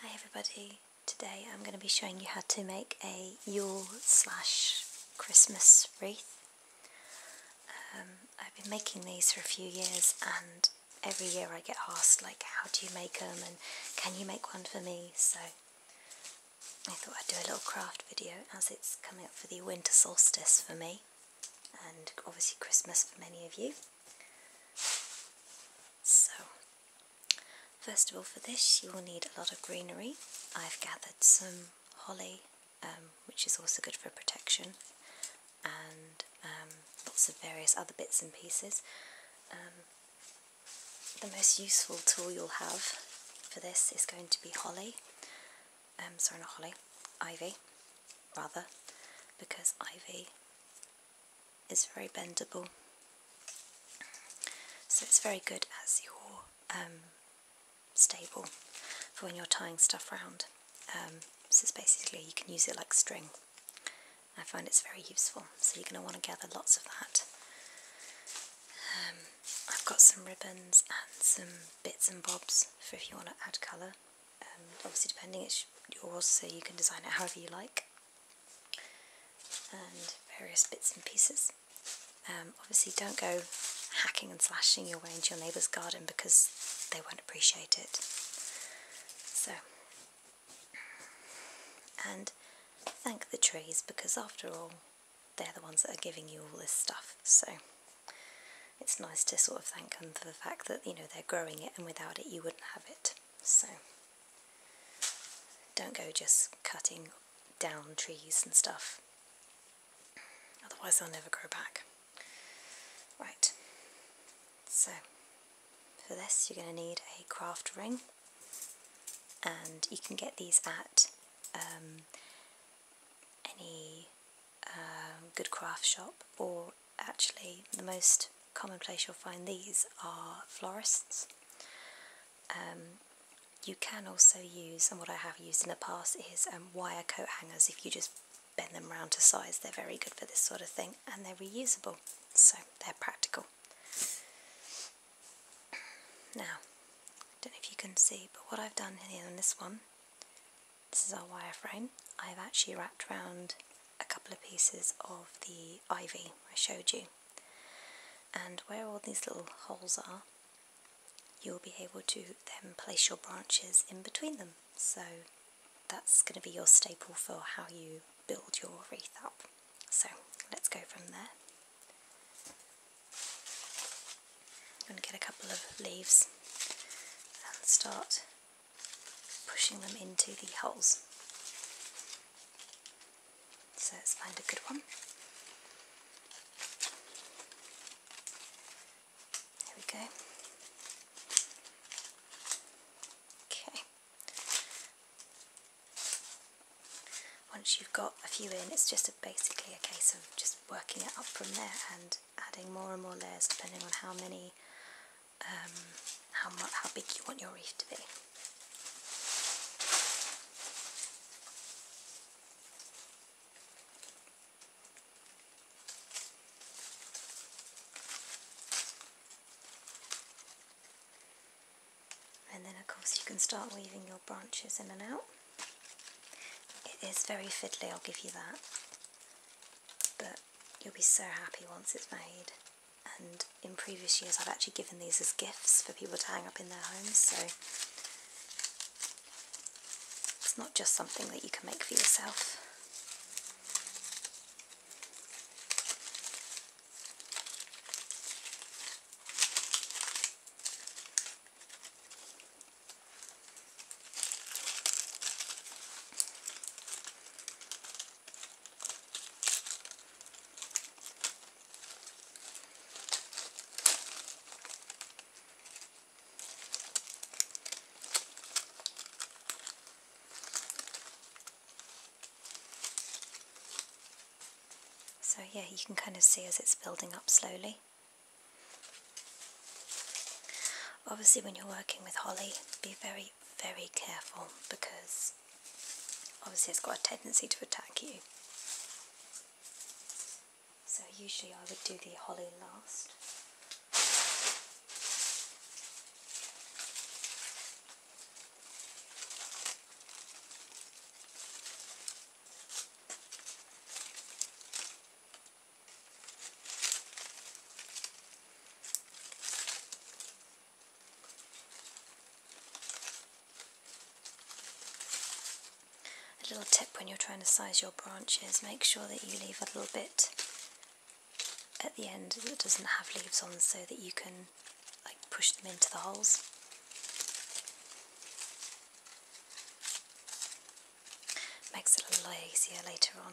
Hi everybody, today I'm going to be showing you how to make a Yule slash Christmas wreath. Um, I've been making these for a few years and every year I get asked like how do you make them and can you make one for me so I thought I'd do a little craft video as it's coming up for the winter solstice for me and obviously Christmas for many of you. So, first of all, for this, you will need a lot of greenery. I've gathered some holly, um, which is also good for protection, and um, lots of various other bits and pieces. Um, the most useful tool you'll have for this is going to be holly. Um, sorry, not holly, ivy, rather, because ivy it's very bendable. So it's very good as your um, stable for when you're tying stuff round. Um, so it's basically, you can use it like string. I find it's very useful, so you're going to want to gather lots of that. Um, I've got some ribbons and some bits and bobs for if you want to add colour. obviously depending it's yours so you can design it however you like and various bits and pieces. Um, obviously, don't go hacking and slashing your way into your neighbour's garden because they won't appreciate it. So, and thank the trees because after all, they're the ones that are giving you all this stuff. So it's nice to sort of thank them for the fact that you know they're growing it, and without it, you wouldn't have it so don't go just cutting down trees and stuff otherwise they'll never grow back right so for this you're going to need a craft ring and you can get these at um, any um, good craft shop or actually the most common place you'll find these are florists. Um, you can also use, and what I have used in the past is um, wire coat hangers. If you just bend them round to size, they're very good for this sort of thing, and they're reusable, so they're practical. Now, I don't know if you can see, but what I've done here on this one, this is our wire frame. I've actually wrapped round a couple of pieces of the ivy I showed you and where all these little holes are you'll be able to then place your branches in between them so that's going to be your staple for how you build your wreath up so let's go from there I'm going to get a couple of leaves and start pushing them into the holes. So let's find a good one. There we go. Okay. Once you've got a few in, it's just basically a case of just working it up from there and adding more and more layers depending on how many um, how, how big you want your reef to be. And then of course you can start weaving your branches in and out. It is very fiddly, I'll give you that. But You'll be so happy once it's made. And in previous years I've actually given these as gifts for people to hang up in their homes, so it's not just something that you can make for yourself. So yeah, you can kind of see as it's building up slowly. Obviously when you're working with holly, be very very, careful because obviously it's got a tendency to attack you. So usually I would do the holly last. A little tip when you're trying to size your branches, make sure that you leave a little bit at the end that doesn't have leaves on so that you can like push them into the holes. Makes it a lot easier later on.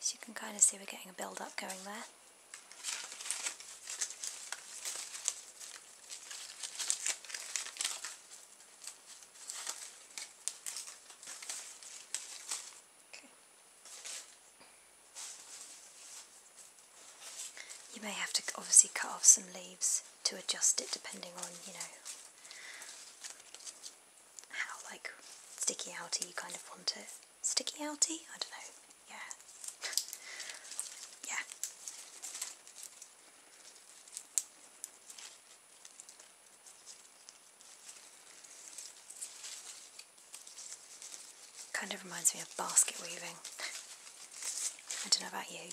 So you can kind of see we're getting a build up going there. Okay. You may have to obviously cut off some leaves to adjust it depending on, you know, how like sticky outy you kind of want it. Sticky outy? I don't know. Yeah. yeah. Kind of reminds me of basket weaving. I don't know about you.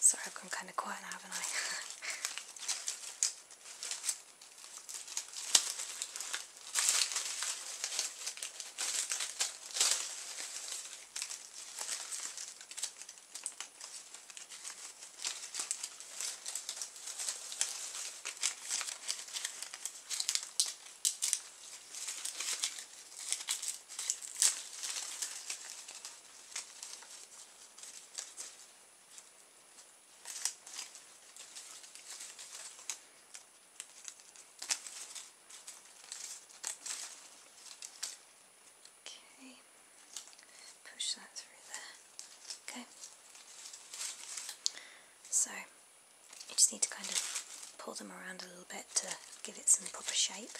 Sorry, I've gone kind of quiet haven't I? Okay, push that through there. Okay, so you just need to kind of pull them around a little bit to give it some proper shape.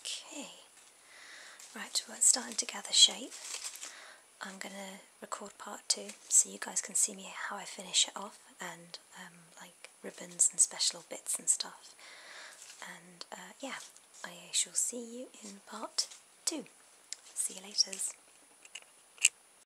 Okay, right, well it's starting to gather shape. I'm going to record part two so you guys can see me how I finish it off and um, like ribbons and special bits and stuff. And uh, yeah, I shall see you in part two. See you later.